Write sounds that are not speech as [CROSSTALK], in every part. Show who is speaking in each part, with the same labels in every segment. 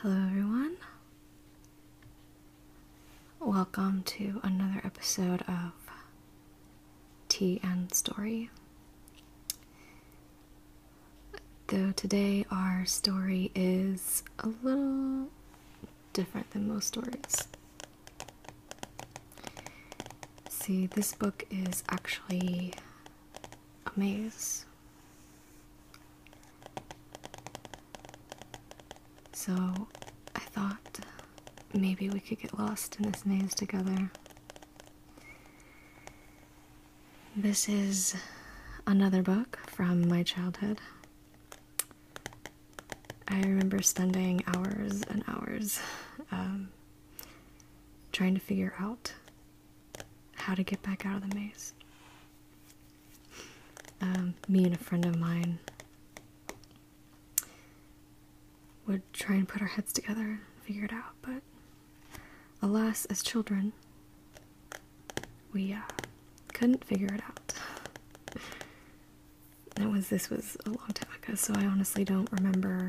Speaker 1: Hello, everyone. Welcome to another episode of Tea and Story. Though today our story is a little different than most stories. See, this book is actually a maze. So I thought maybe we could get lost in this maze together. This is another book from my childhood. I remember spending hours and hours um, trying to figure out how to get back out of the maze. Um, me and a friend of mine would try and put our heads together and figure it out, but alas, as children, we uh, couldn't figure it out. That [LAUGHS] was this was a long time ago, so I honestly don't remember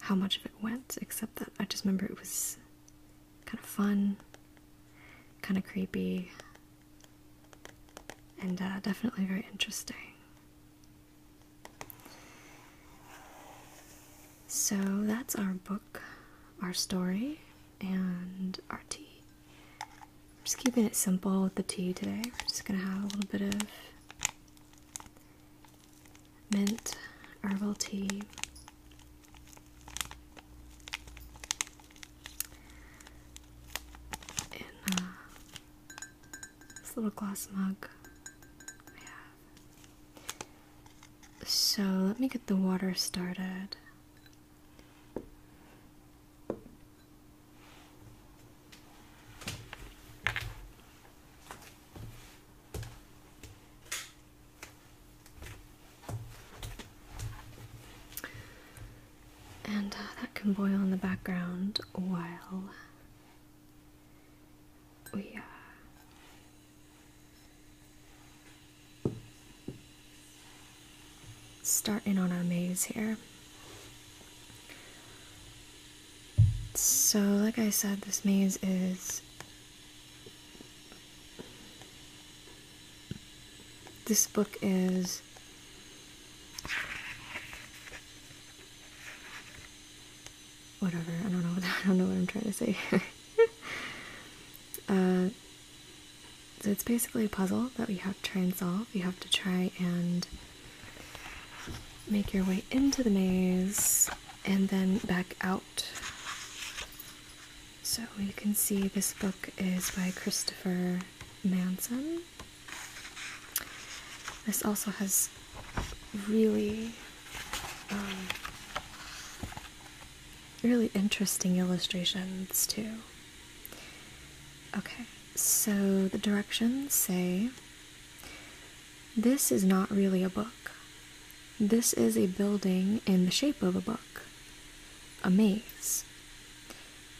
Speaker 1: how much of it went, except that I just remember it was kind of fun, kind of creepy, and uh, definitely very interesting. So that's our book, our story, and our tea. just keeping it simple with the tea today. We're just gonna have a little bit of mint herbal tea. In uh, this little glass mug I So let me get the water started. And uh, that can boil in the background while we uh, start in on our maze here. So, like I said, this maze is. This book is. Whatever, I don't know. [LAUGHS] I don't know what I'm trying to say here. [LAUGHS] uh, so it's basically a puzzle that we have to try and solve. We have to try and make your way into the maze and then back out. So you can see this book is by Christopher Manson. This also has really, um, really interesting illustrations too. Okay, so the directions say this is not really a book. This is a building in the shape of a book, a maze.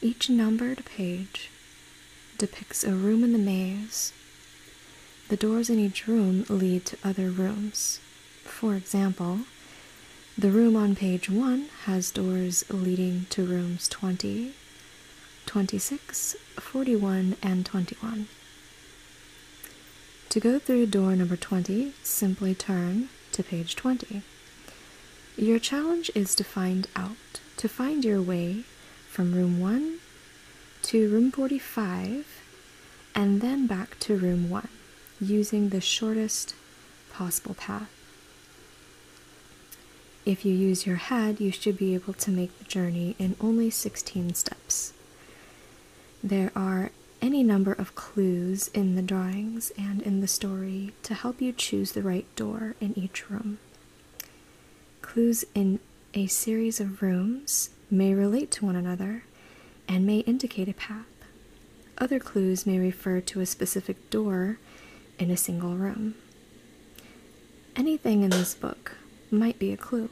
Speaker 1: Each numbered page depicts a room in the maze. The doors in each room lead to other rooms. For example, the room on page 1 has doors leading to rooms 20, 26, 41, and 21. To go through door number 20, simply turn to page 20. Your challenge is to find out, to find your way from room 1 to room 45 and then back to room 1 using the shortest possible path. If you use your head, you should be able to make the journey in only 16 steps. There are any number of clues in the drawings and in the story to help you choose the right door in each room. Clues in a series of rooms may relate to one another and may indicate a path. Other clues may refer to a specific door in a single room. Anything in this book might be a clue.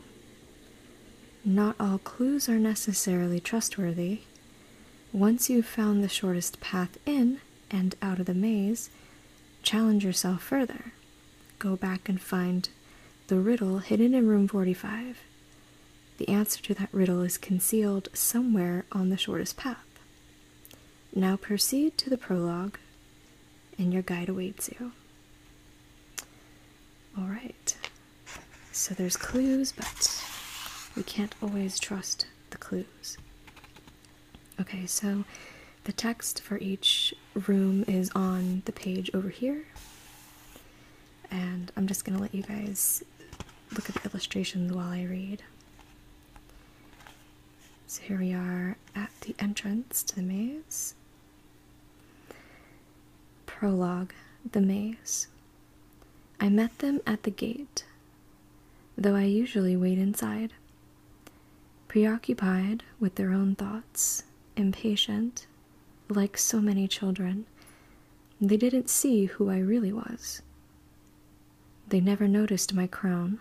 Speaker 1: Not all clues are necessarily trustworthy. Once you've found the shortest path in and out of the maze, challenge yourself further. Go back and find the riddle hidden in room 45. The answer to that riddle is concealed somewhere on the shortest path. Now proceed to the prologue, and your guide awaits you. All right. So there's clues, but we can't always trust the clues. Okay, so the text for each room is on the page over here. And I'm just going to let you guys look at the illustrations while I read. So here we are at the entrance to the maze. Prologue The Maze. I met them at the gate, though I usually wait inside. Preoccupied with their own thoughts, impatient, like so many children, they didn't see who I really was. They never noticed my crown,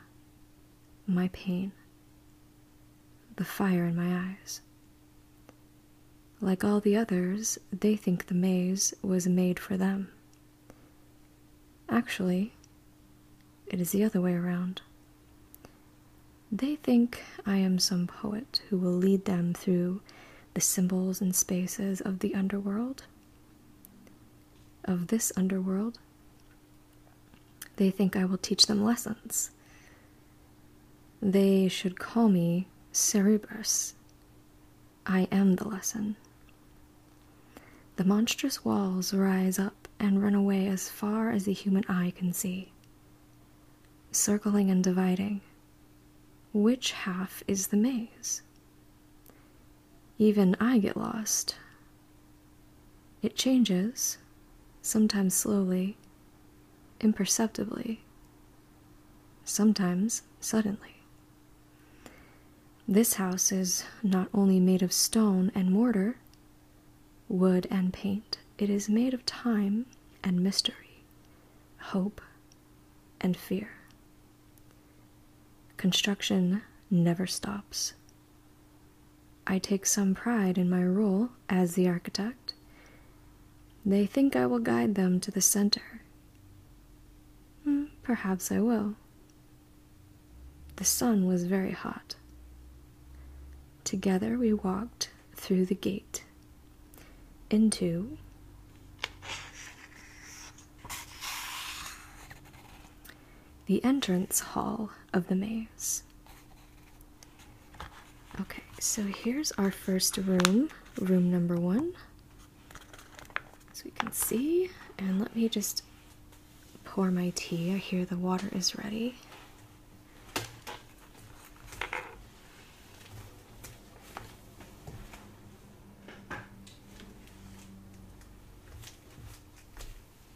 Speaker 1: my pain the fire in my eyes. Like all the others, they think the maze was made for them. Actually, it is the other way around. They think I am some poet who will lead them through the symbols and spaces of the underworld, of this underworld, they think I will teach them lessons. They should call me Cerebrus. I am the lesson. The monstrous walls rise up and run away as far as the human eye can see, circling and dividing. Which half is the maze? Even I get lost. It changes, sometimes slowly, imperceptibly, sometimes suddenly. This house is not only made of stone and mortar, wood and paint, it is made of time and mystery, hope and fear. Construction never stops. I take some pride in my role as the architect. They think I will guide them to the center. Hmm, perhaps I will. The sun was very hot. Together we walked through the gate into the entrance hall of the maze. Okay, so here's our first room, room number one. As we can see, and let me just pour my tea. I hear the water is ready.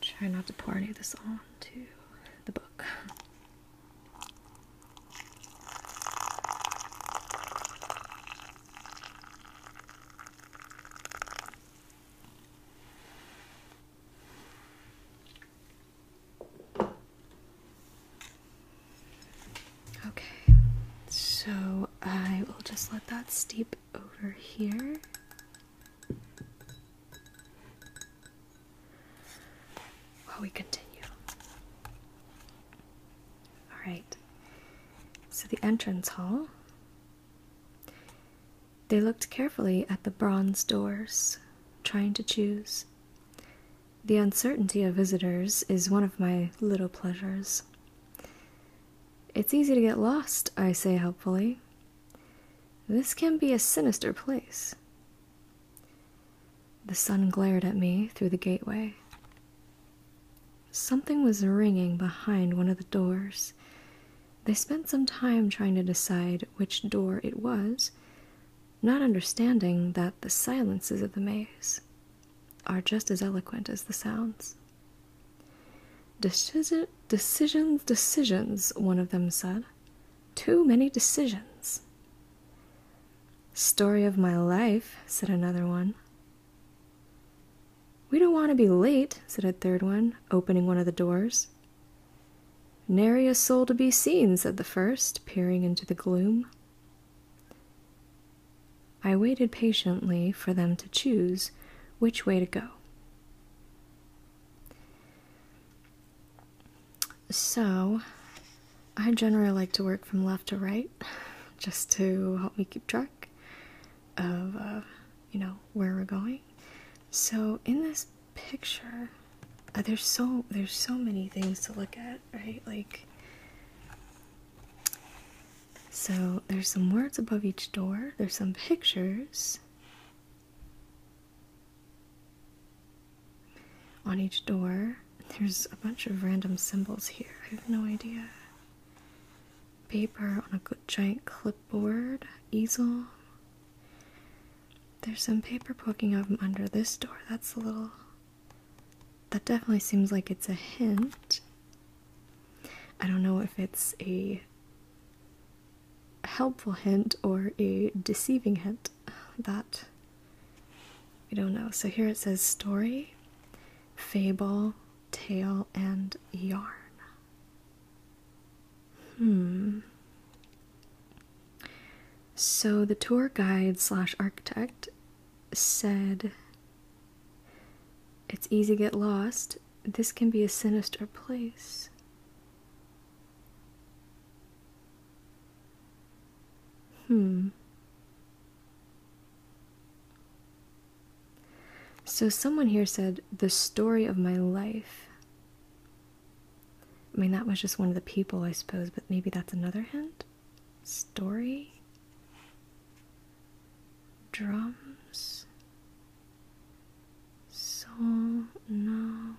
Speaker 1: Try not to pour any of this on to the book. Okay, so I will just let that steep over here. While we continue. Alright, so the entrance hall they looked carefully at the bronze doors, trying to choose. The uncertainty of visitors is one of my little pleasures. It's easy to get lost, I say helpfully. This can be a sinister place. The sun glared at me through the gateway. Something was ringing behind one of the doors, they spent some time trying to decide which door it was, not understanding that the silences of the maze are just as eloquent as the sounds. Deci decisions, decisions, one of them said. Too many decisions. Story of my life, said another one. We don't want to be late, said a third one, opening one of the doors. Nary a soul to be seen, said the first, peering into the gloom. I waited patiently for them to choose which way to go. So, I generally like to work from left to right just to help me keep track of, uh, you know, where we're going. So in this picture, uh, there's so there's so many things to look at, right? Like so there's some words above each door, there's some pictures on each door. There's a bunch of random symbols here. I have no idea paper on a giant clipboard easel. There's some paper poking out from under this door. That's a little. That definitely seems like it's a hint. I don't know if it's a helpful hint or a deceiving hint. That we don't know. So here it says story, fable, tale, and yarn. Hmm. So the tour guide slash architect said, It's easy to get lost. This can be a sinister place. Hmm. So, someone here said, The story of my life. I mean, that was just one of the people, I suppose, but maybe that's another hint? Story? Drums? Soul? No.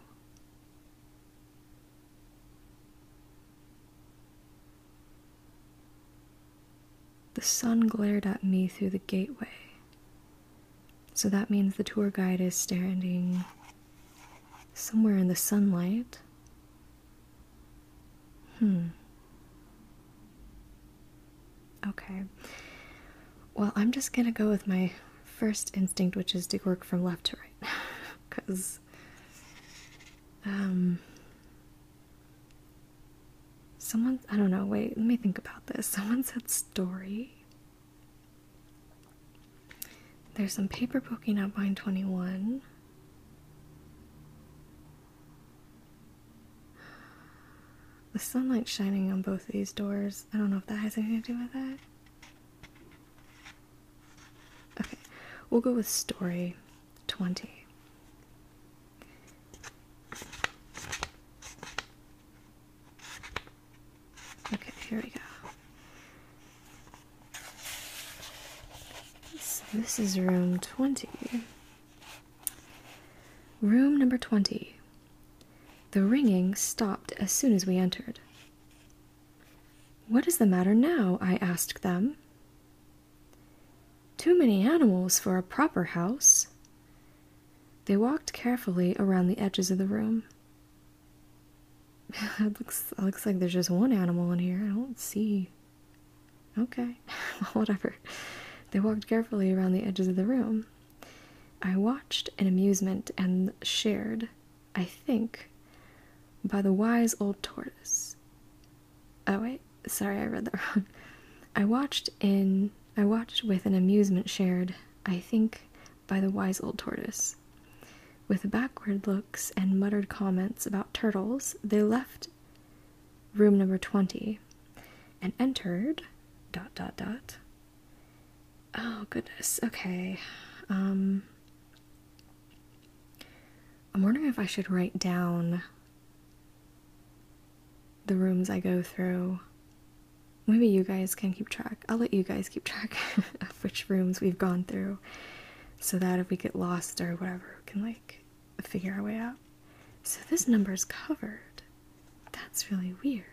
Speaker 1: The sun glared at me through the gateway. So that means the tour guide is standing somewhere in the sunlight. Hmm. Okay. Well, I'm just gonna go with my first instinct, which is to work from left to right. Because, [LAUGHS] um, someone, I don't know, wait, let me think about this. [LAUGHS] Someone said story. There's some paper poking out behind 21. The sunlight shining on both these doors. I don't know if that has anything to do with that. Okay, we'll go with story 20. Okay, here we go. this is room 20. Room number 20. The ringing stopped as soon as we entered. What is the matter now? I asked them. Too many animals for a proper house. They walked carefully around the edges of the room. [LAUGHS] it looks looks like there's just one animal in here. I don't see. Okay, [LAUGHS] whatever. They walked carefully around the edges of the room. I watched in amusement and shared, I think, by the wise old tortoise. Oh, wait, sorry, I read that [LAUGHS] wrong. I watched in I watched with an amusement shared, I think, by the wise old tortoise. With backward looks and muttered comments about turtles, they left room number 20 and entered dot dot dot oh goodness okay um i'm wondering if i should write down the rooms I go through. Maybe you guys can keep track. I'll let you guys keep track [LAUGHS] of which rooms we've gone through so that if we get lost or whatever, we can like figure our way out. So this number is covered. That's really weird.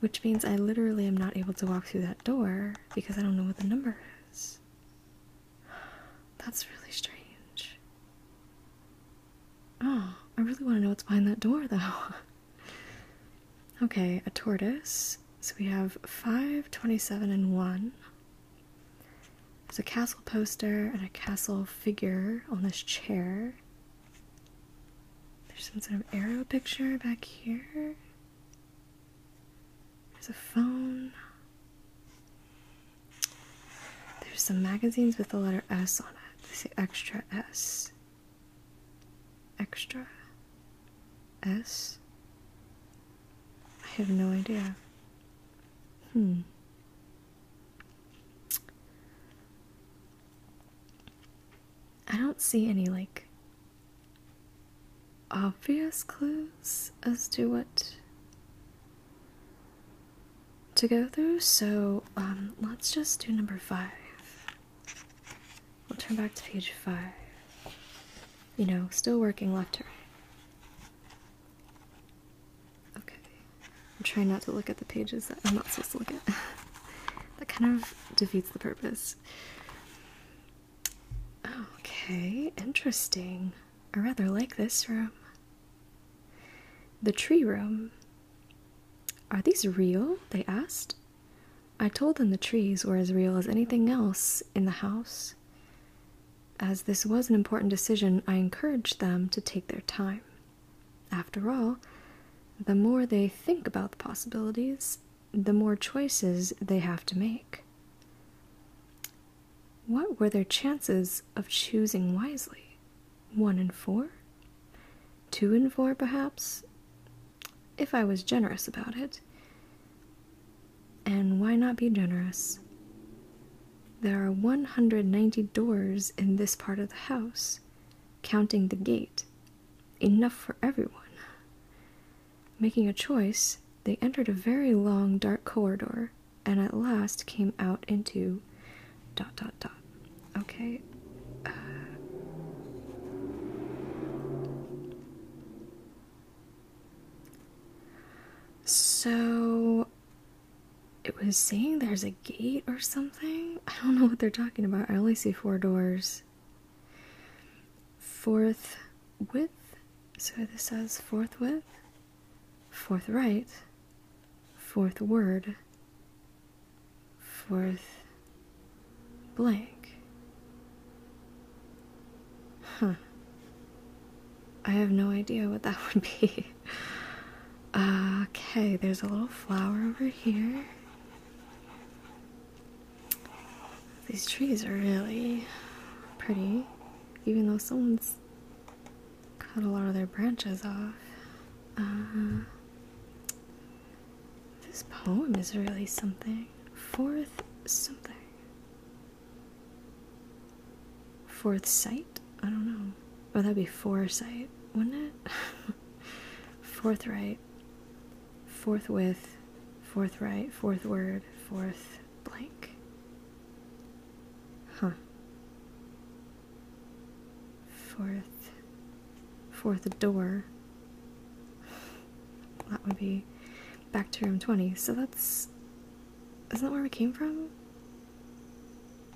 Speaker 1: Which means I literally am not able to walk through that door because I don't know what the number is. That's really strange. Oh, I really want to know what's behind that door, though. [LAUGHS] okay, a tortoise. So we have 5, 27, and 1. There's a castle poster and a castle figure on this chair. There's some sort of arrow picture back here. There's a phone. There's some magazines with the letter S on it. They say extra S. Extra S? I have no idea. Hmm. I don't see any like obvious clues as to what to go through, so um, let's just do number five. We'll turn back to page five. You know, still working left to right. Okay. I'm trying not to look at the pages that I'm not supposed to look at. [LAUGHS] that kind of defeats the purpose. Okay, interesting. I rather like this room. The tree room. Are these real? They asked. I told them the trees were as real as anything else in the house. As this was an important decision, I encouraged them to take their time. After all, the more they think about the possibilities, the more choices they have to make. What were their chances of choosing wisely? one and four? Two and four, perhaps? If I was generous about it. And why not be generous? There are 190 doors in this part of the house, counting the gate. Enough for everyone. Making a choice, they entered a very long, dark corridor and at last came out into dot dot dot. Okay. Uh, so it was saying there's a gate or something. I don't know what they're talking about. I only see four doors. Fourth width. So this says fourth width forthright, forthward, forth blank. Huh. I have no idea what that [LAUGHS] would be. okay, there's a little flower over here. These trees are really pretty, even though someone's cut a lot of their branches off. Uh-huh. this poem is really something. Fourth something. Fourth sight? I don't know. Oh, that'd be foresight, wouldn't it? Fourth [LAUGHS] Forthright. Fourth Forthright. Fourth word. Fourth blank. Huh fourth fourth door that would be back to room 20 so that's isn't that where we came from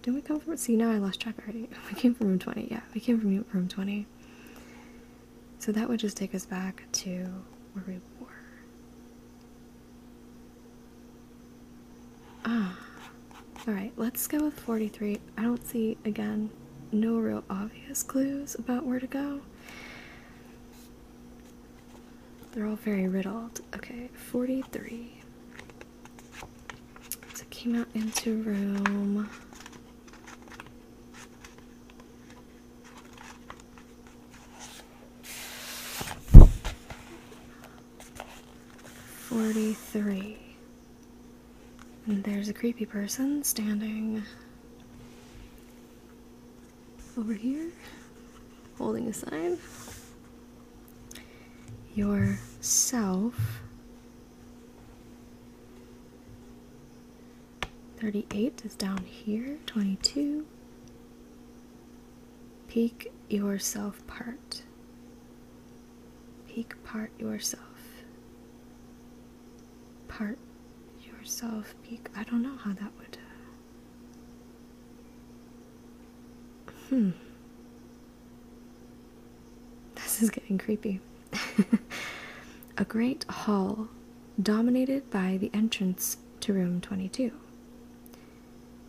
Speaker 1: didn't we come from see now i lost track already [LAUGHS] we came from room 20 yeah we came from room 20 so that would just take us back to where we were Ah. Alright, let's go with 43. I don't see, again, no real obvious clues about where to go. They're all very riddled. Okay, 43. So came out into room. 43. And there's a creepy person standing over here holding a sign. Yourself. 38 is down here, 22. Peek yourself part. Peek part yourself. Part yourself, peek. I don't know how that would. Uh, hmm. This is getting creepy. [LAUGHS] A great hall dominated by the entrance to room 22.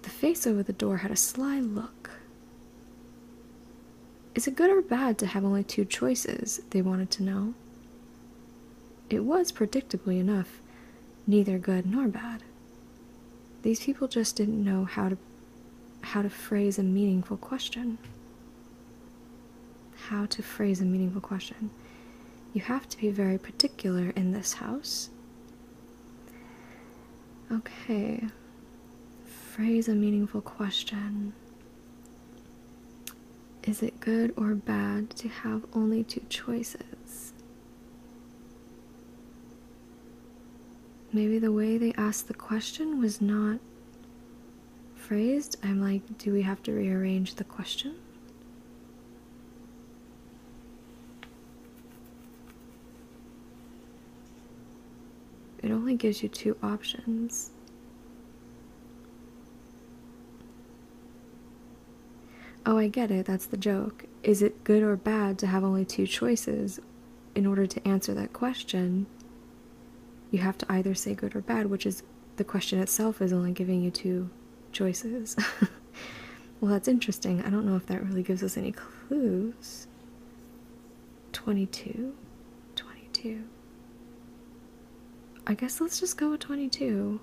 Speaker 1: The face over the door had a sly look is it good or bad to have only two choices? They wanted to know. It was, predictably enough, neither good nor bad. These people just didn't know how to how to phrase a meaningful question. How to phrase a meaningful question. You have to be very particular in this house. Okay. Phrase a meaningful question. Is it good or bad to have only two choices? Maybe the way they asked the question was not phrased. I'm like, do we have to rearrange the question? It only gives you two options. Oh, I get it. That's the joke. Is it good or bad to have only two choices? In order to answer that question, you have to either say good or bad, which is the question itself is only giving you two choices. [LAUGHS] well, that's interesting. I don't know if that really gives us any clues. 22 22 I guess let's just go with 22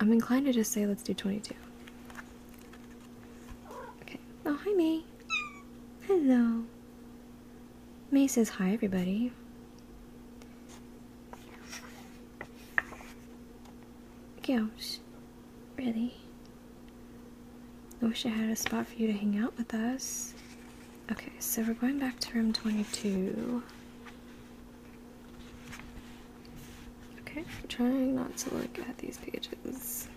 Speaker 1: I'm inclined to just say let's do 22 Okay oh hi May Hello May says hi everybody gowns, really. I wish I had a spot for you to hang out with us. Okay, so we're going back to room 22. Okay, I'm trying not to look at these pages.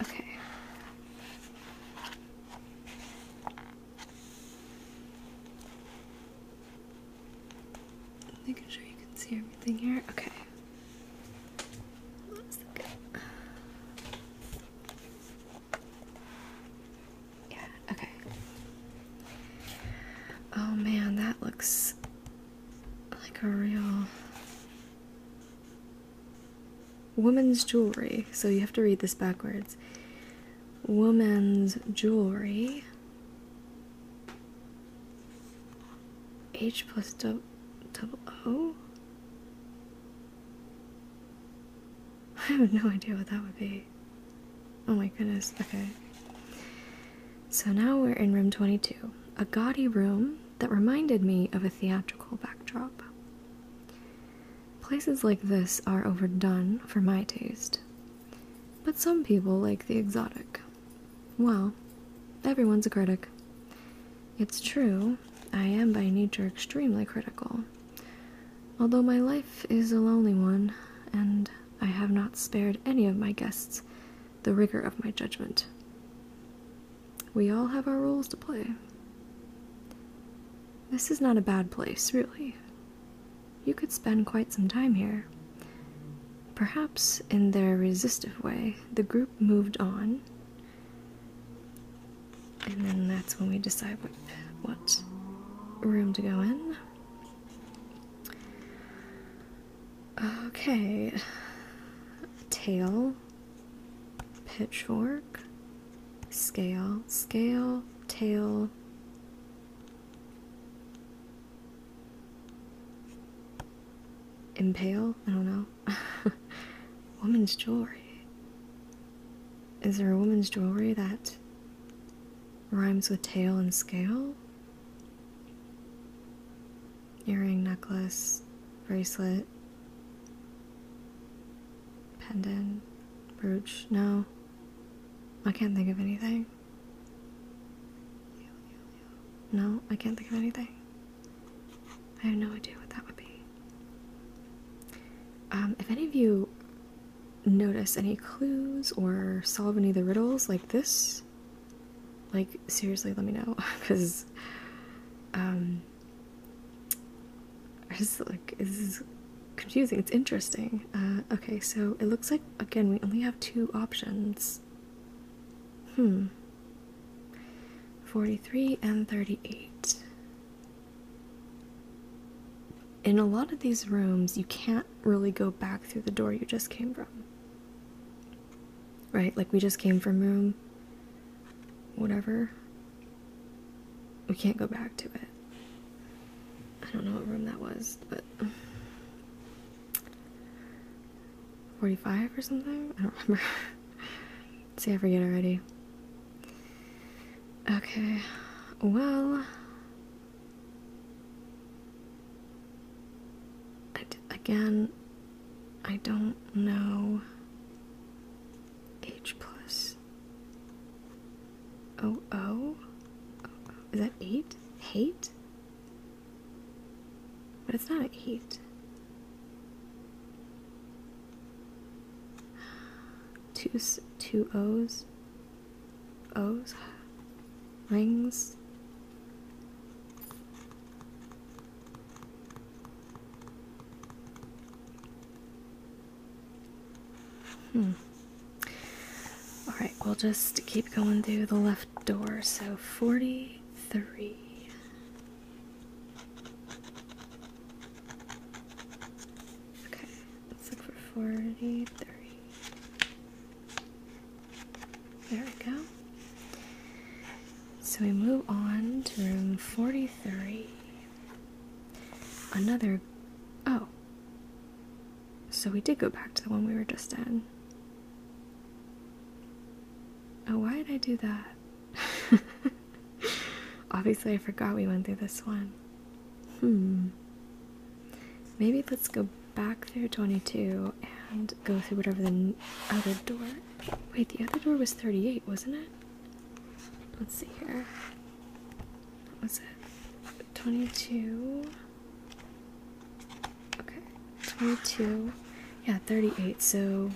Speaker 1: Okay. Making sure you can see everything here. Okay. Yeah, okay. Oh man, that looks like a real woman's jewelry. So you have to read this backwards. Woman's jewelry. H plus plus O? [LAUGHS] I have no idea what that would be. Oh my goodness, okay. So now we're in room 22, a gaudy room that reminded me of a theatrical backdrop. Places like this are overdone for my taste, but some people like the exotic. Well, everyone's a critic. It's true, I am by nature extremely critical, although my life is a lonely one, and I have not spared any of my guests the rigor of my judgment. We all have our roles to play. This is not a bad place, really. You could spend quite some time here. Perhaps, in their resistive way, the group moved on, and then that's when we decide what, what room to go in. Okay. Tail, pitchfork, scale, scale, tail. Impale? I don't know. [LAUGHS] woman's jewelry. Is there a woman's jewelry that rhymes with tail and scale? earring, necklace, bracelet, pendant, brooch. No, I can't think of anything. No, I can't think of anything. I have no idea what that would be. Um, if any of you notice any clues or solve any of the riddles like this, like, seriously, let me know. Because, [LAUGHS] um, I just like, this is confusing. It's interesting. Uh, okay, so it looks like, again, we only have two options. Hmm. 43 and 38. In a lot of these rooms, you can't really go back through the door you just came from. Right? Like, we just came from room whatever. We can't go back to it. I don't know what room that was, but. 45 or something? I don't remember. [LAUGHS] See, I forget already. Okay. Well, again, I don't know H plus O O. Is that eight? Hate? But it's not eight. Two two O's. O's wings. Hmm. Alright, we'll just keep going through the left door. So 43. Okay, let's look for 43. There we go. So we move on to room 43. Another. Oh. So we did go back to the one we were just in. Oh, why did I do that? [LAUGHS] Obviously, I forgot we went through this one. Hmm. Maybe let's go back through 22 and go through whatever the other door. Wait, the other door was 38, wasn't it? Let's see here. What was it? 22. Okay, 22. Yeah, 38. So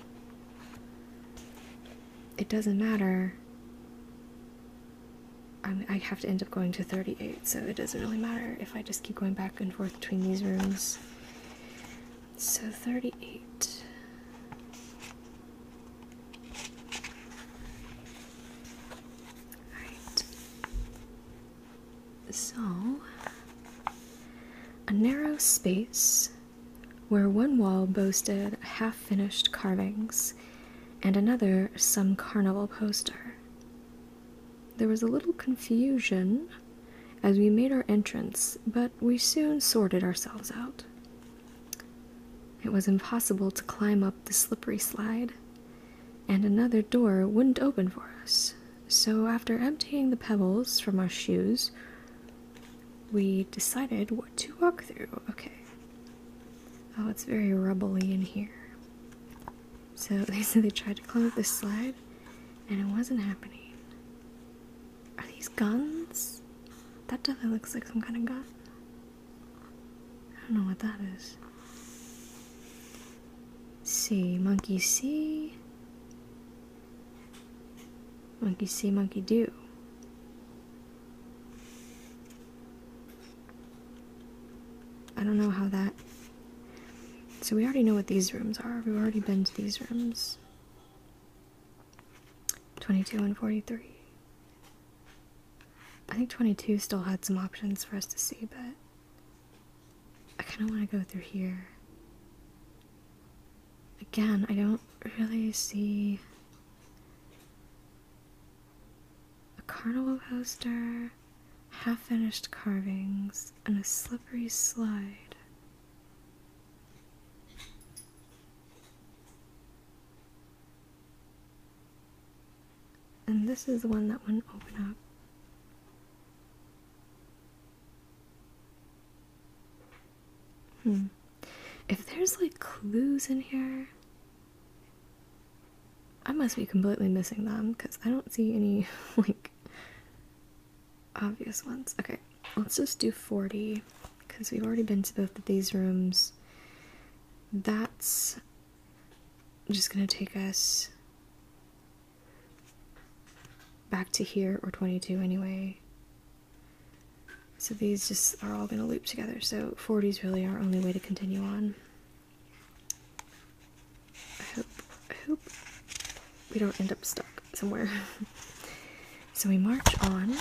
Speaker 1: it doesn't matter. I, have to end up going to 38, so it doesn't really matter if I just keep going back back and forth between these rooms. So 38. Alright. So, a narrow space where one wall boasted half finished carvings and another some carnival poster. There was a little confusion as we made our entrance, but we soon sorted ourselves out. It was impossible to climb up the slippery slide, and another door wouldn't open for us. So, after emptying the pebbles from our shoes, we decided what to walk through. Okay. Oh, it's very rubbly in here. So [LAUGHS] they said they tried to climb up this slide and it wasn't happening. Are these guns? That definitely looks like some kind of gun. I don't know what that is. See, monkey see. Monkey see, monkey do. I don't know how that. So we already know what these rooms are. We've already been to these rooms 22 and 43. I think 22 still had some options for us to see, but I kind of want to go through here. Again, I don't really see a carnival poster half finished carvings, and a slippery slide. And this is the one that wouldn't open up. Hmm. If there's like clues in here, I must be completely missing them because I don't see any [LAUGHS] like obvious ones. Okay, let's just do 40 because we've already been to both of these rooms. That's just gonna take us back to here or 22 anyway. So these just are all gonna loop together. So 40 is really our only way to continue on. I hope, we don't end up stuck somewhere. [LAUGHS] so we march on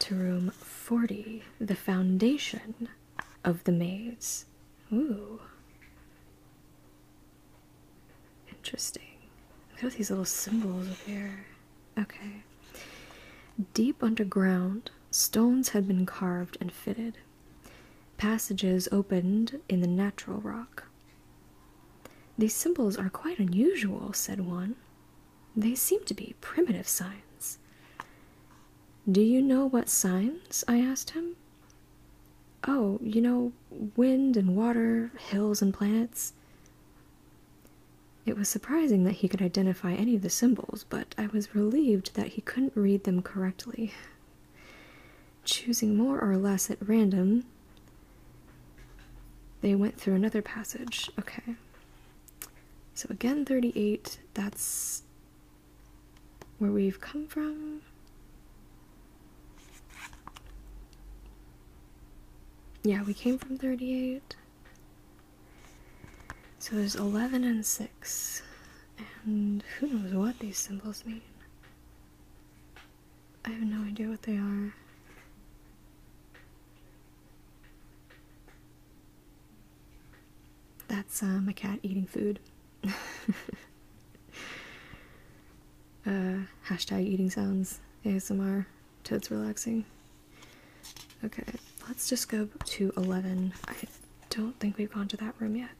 Speaker 1: to room 40, the foundation of the maids. Ooh. Interesting. Look at these little symbols up here. Okay. Deep underground, stones had been carved and fitted. Passages opened in the natural rock. These symbols are quite unusual, said one. They seem to be primitive signs. Do you know what signs? I asked him. Oh, you know, wind and water, hills and planets. It was surprising that he could identify any of the symbols but I was relieved that he couldn't read them correctly. Choosing more or less at random, they went through another passage. Okay. So again, 38, that's where we've come from. Yeah, we came from 38. So there's 11 and 6, and who knows what these symbols mean. I have no idea what they are. That's my um, cat eating food. [LAUGHS] uh, hashtag eating sounds ASMR. Toad's relaxing. Okay, let's just go to 11 don't think we've gone to that room yet.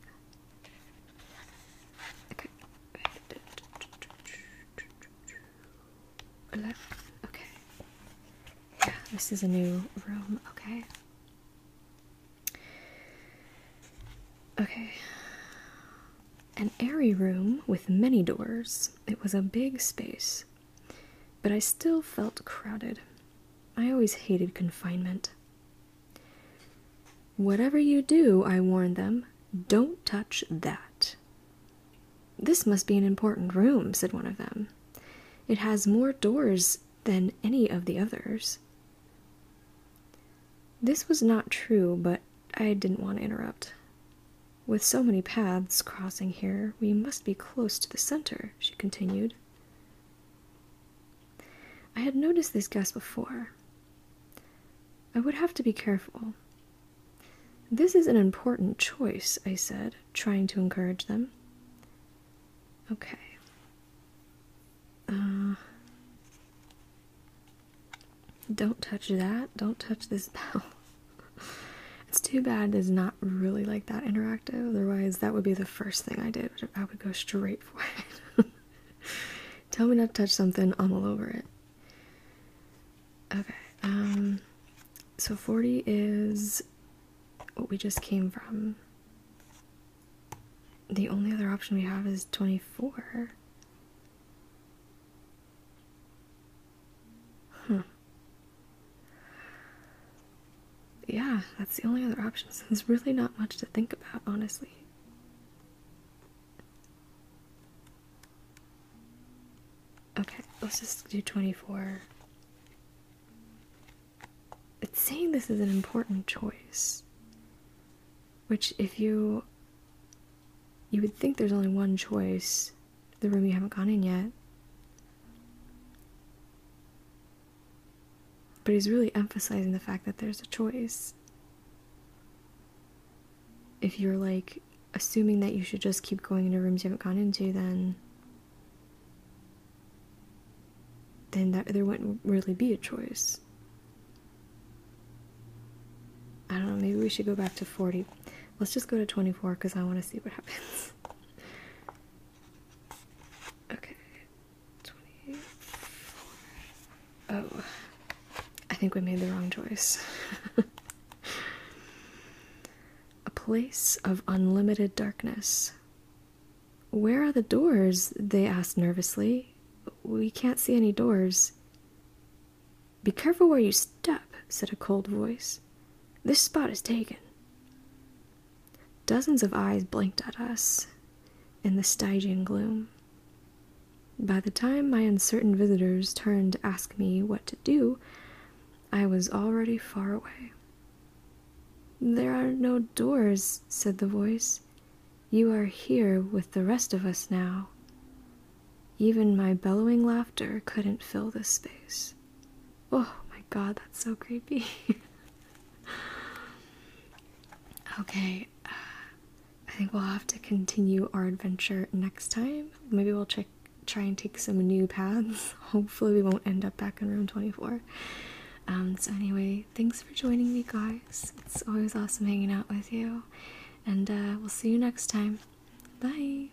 Speaker 1: Okay. Yeah, this is a new room. Okay. Okay. An airy room with many doors. It was a big space, but I still felt crowded. I always hated confinement. Whatever you do, I warn them, don't touch that. This must be an important room, said one of them. It has more doors than any of the others. This was not true, but I didn't want to interrupt. With so many paths crossing here, we must be close to the center, she continued. I had noticed this guys before. I would have to be careful. This is an important choice, I said, trying to encourage them. Okay. Uh, don't touch that. Don't touch this [LAUGHS] bell. it's too bad there's not really like that interactive. Otherwise, that would be the first thing I did. I would go straight for it. [LAUGHS] Tell me not to touch something, I'm all over it. Okay, um, so 40 is what we just came from. The only other option we have is 24. Hmm. Yeah, that's the only other option. So there's really not much to think about, honestly. Okay, let's just do 24. It's saying this is an important choice. Which, if you. You would think there's only one choice, the room you haven't gone in yet. But he's really emphasizing the fact that there's a choice. If you're like assuming that you should just keep going into rooms you haven't gone into, then then that, there wouldn't really be a choice. I don't know, maybe we should go back to 40. Let's just go to 24 because I want to see what happens. [LAUGHS] Okay, 24. Oh, I think we made the wrong choice. [LAUGHS] A place of unlimited darkness. Where are the doors? They asked nervously. We can't see any doors. Be careful where you step, said a cold voice. This spot is taken. Dozens of eyes blinked at us in the Stygian gloom. By the time my uncertain visitors turned to ask me what to do, I was already far away. There are no doors, said the voice. You are here with the rest of us now. Even my bellowing laughter couldn't fill the space. Oh my god, that's so creepy. [LAUGHS] okay, uh, I think we'll have to continue our adventure next time. Maybe we'll check, try and take some new paths. [LAUGHS] Hopefully, we won't end up back in room 24. Um, so, anyway, thanks for joining me, guys. It's always awesome hanging out with you. And uh, we'll see you next time. Bye.